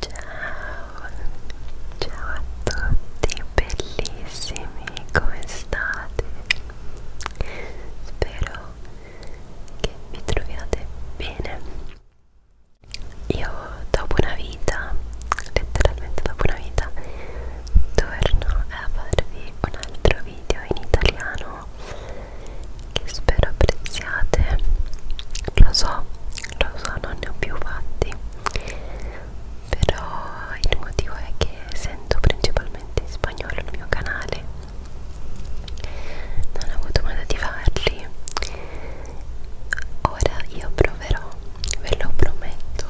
Ciao, ciao a tutti bellissimi, come state? Spero che vi troviate bene. Io dopo una vita, letteralmente dopo una vita, torno a farvi un altro video in italiano che spero apprezziate lo so lo so non ne ho più fatti però il motivo è che sento principalmente in spagnolo il mio canale non ho avuto modo di farli ora io proverò ve lo prometto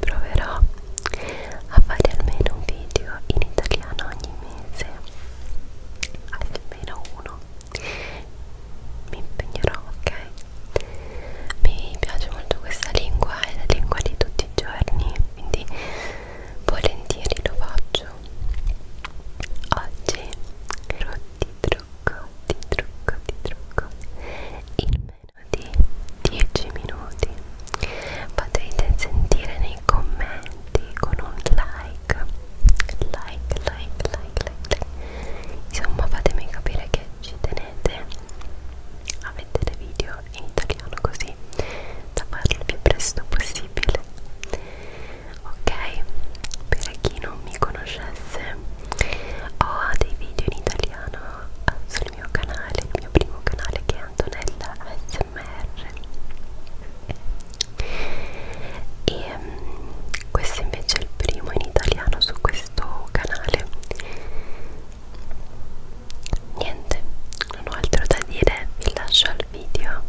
proverò a fare almeno un video in italiano ogni mese almeno uno mi impegnerò ok mi piace molto questa lingua è la lingua di tutti i giorni quindi volentieri lo faccio oggi però ti trucco ti trucco ti trucco in meno di 10 minuti potete sentire nei commenti con un like like, like, like, like, like. Insomma, fatemi capire che ci tenete a vedere video in italiano così da farlo il più presto possibile. Ok? Per chi non mi conoscesse, ho dei video in italiano sul mio canale, il mio primo canale che è Antonella S ASMR e um, questo invece è il primo in italiano su questo canale niente non ho altro da dire vi lascio al video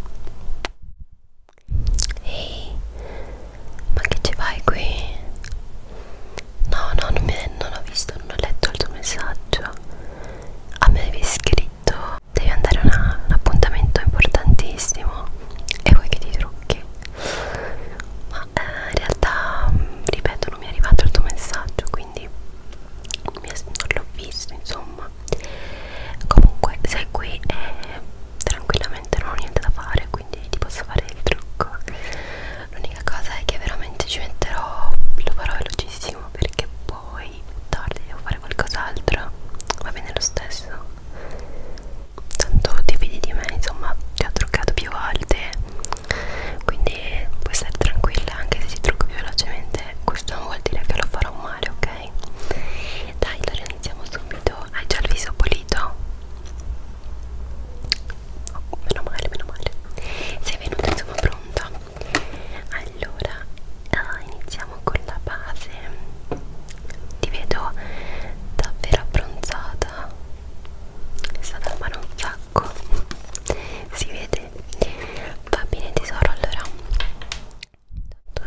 ehi ma che ci fai qui? no no non, mi, non ho visto non ho letto il tuo messaggio a me avevi scritto devi andare a un appuntamento importantissimo e vuoi che ti trucchi ma eh, in realtà ripeto non mi è arrivato il tuo messaggio quindi non l'ho visto insomma comunque sei qui e tranquillamente non ho niente da fare quindi ti posso fare il trucco l'unica cosa è che veramente ci metterò lo farò velocissimo perché poi poi tardi devo fare qualcos'altro va bene lo stesso tanto ti fidi di me insomma ti ho truccato più volte quindi puoi stare tranquilla anche se ti trucco più velocemente questo non vuol dire che lo farò male ok dai allora iniziamo subito hai già il viso pulito oh, meno male meno male sei venuta insomma pronta allora ah, iniziamo con la base ti vedo davvero abbronzata è stata mano un sacco si vede va bene tesoro allora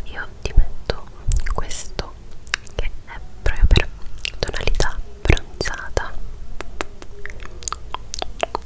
io ti metto questo che è proprio per tonalità bronzata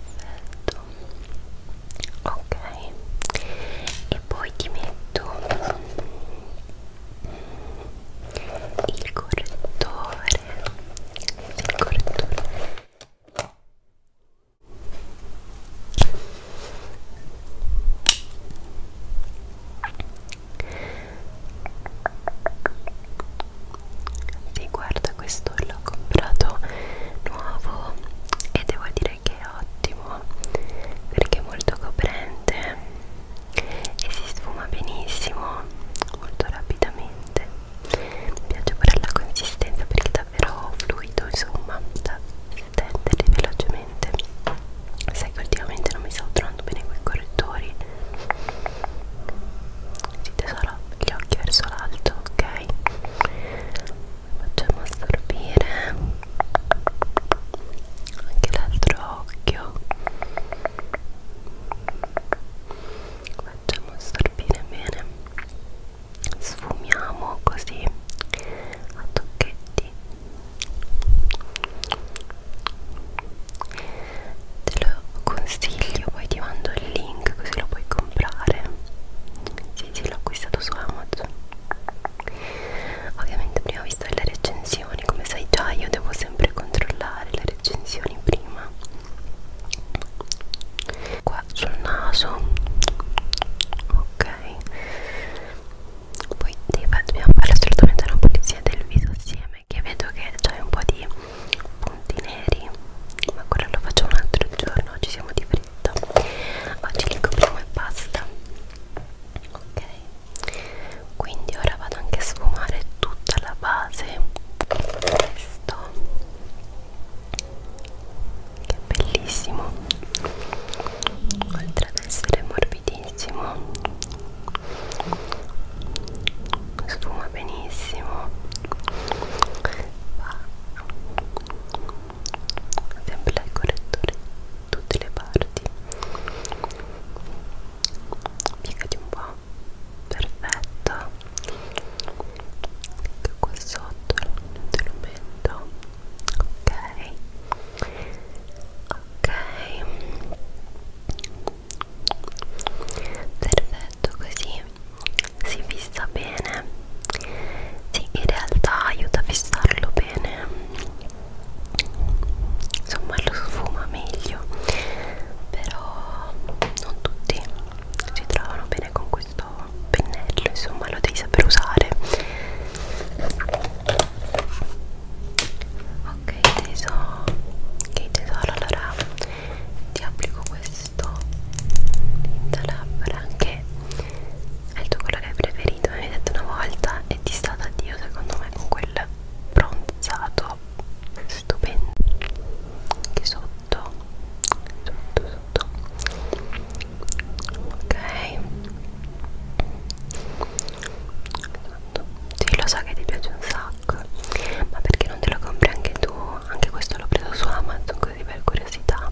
perfetto ok e poi ti metto il correttore il correttore sì guarda questo l'ho comprato nuovo e devo dire che è ottimo perché è molto coprente e si sfuma benissimo molto rapidamente mi piace pure la consistenza perché è davvero fluido insomma da stenderli velocemente sai che ultimamente non mi stavo trovando bene con i correttori sì tesoro, gli occhi verso l'alto, ok? Facciamo assorbire anche l'altro occhio. Facciamo assorbire bene. Sfumiamo così a tocchetti te lo consiglio poi ti mando il link così lo puoi comprare sì sì l'ho acquistato su Amazon ovviamente prima ho visto le recensioni come sai già io devo sempre controllare le recensioni prima qua sul naso ok poi deve, dobbiamo fare assolutamente una pulizia del viso assieme insieme che vedo che c'hai un po' di punti neri ma quello lo faccio un altro giorno oggi siamo di fretta oggi li copriamo e basta ok quindi ora vado anche a sfumare tutta la base questo che è bellissimo oltre ad essere morbidissimo sfuma benissimo va sempre dal correttore tutte le parti piegati un po' perfetto anche qua sotto te lo metto ok ok perfetto così si fissa bene sì in realtà aiuta a fissarlo bene insomma lo sfuma meglio però non tutti si trovano bene con questo pennello insomma lo devi saper usare ok tesoro ok tesoro allora ti applico questo tinta labbra che è il tuo colore preferito mi hai detto una volta e ti sta da dio secondo me con quel bronzato stupendo che sotto sotto sotto ok tanto sì lo so che ti piace un sacco ma perché non te lo compri anche tu anche questo l'ho preso su Amazon così per curiosità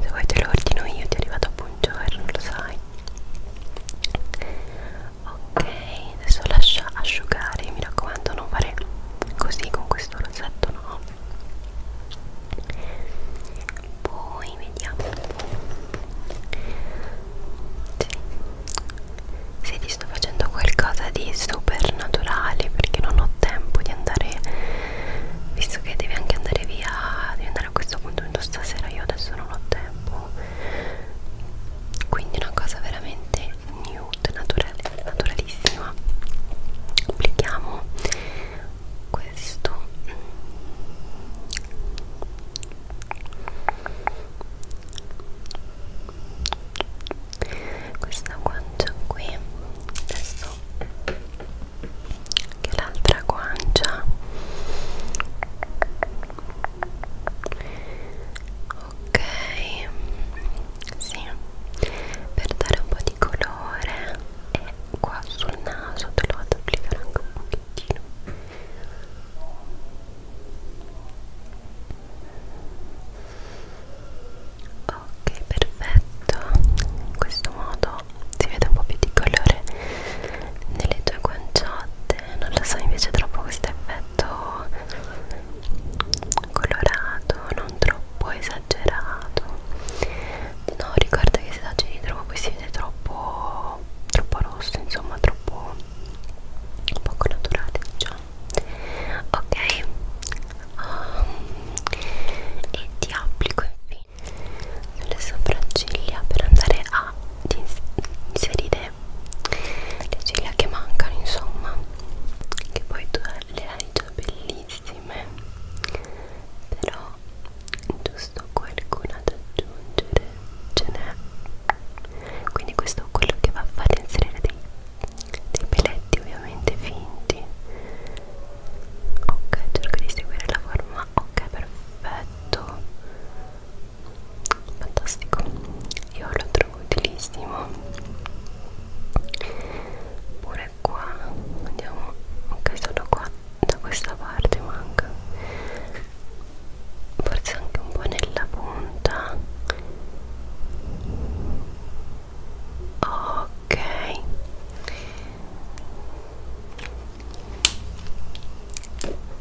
se vuoi te lo ordino io ti è arrivato dopo un giorno lo sai ok adesso lascia asciugare mi raccomando non fare così con questo rosetto no poi vediamo sì. se ti sto facendo qualcosa di super naturale perché non ho tempo di andare visto che devi anche andare via devi andare a questo punto stasera io adesso non ho tempo quindi una cosa veramente nude naturale naturalissima applichiamo questo questa guancia qui adesso che l'altra guancia ok sì per dare un po' di colore e qua sul naso te lo vado ad applicare anche un po' pochettino ok perfetto in questo modo si vede un po' più di colore nelle tue guanciotte non lo so invece troppo questo effetto colorato non troppo esagerato no ricorda che si da cilindro ma poi si vede troppo troppo rosso insomma troppo poco naturale diciamo ok um, e ti applico infine sulle sopracciglia per andare a inserire le ciglia che mancano insomma che poi tu le hai già bellissime però ho giusto qualcuna da aggiungere ce n'è quindi questo è quello che va a fare inserire dei, dei peletti ovviamente finti ok cerco di seguire la forma ok perfetto fantastico io lo trovo utilissimo pure qua andiamo ok sono 4 da questa parte manca forse anche un po' nella punta ok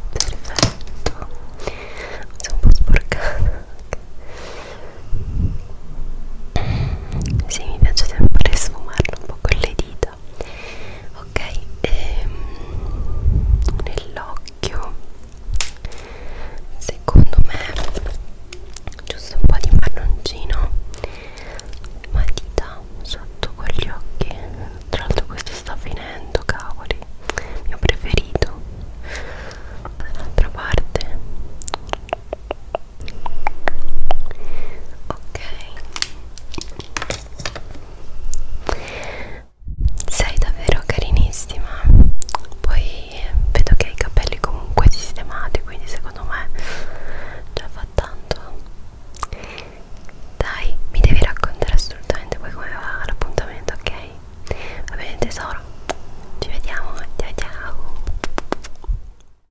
perfetto sono un po' sporcata sì mi piace sempre sfumarlo un po' con le dita vita ok ehm, nell'occhio secondo me giusto un po' di marroncino matita sotto con gli occhi tra l'altro questo sta finendo cavoli mio preferito dall'altra parte ok sei davvero carinissima poi vedo che hai i capelli comunque sistemati quindi secondo me già fa tanto dai mi devi raccontare assolutamente poi come va l'appuntamento ok va bene tesoro ci vediamo ciao ciao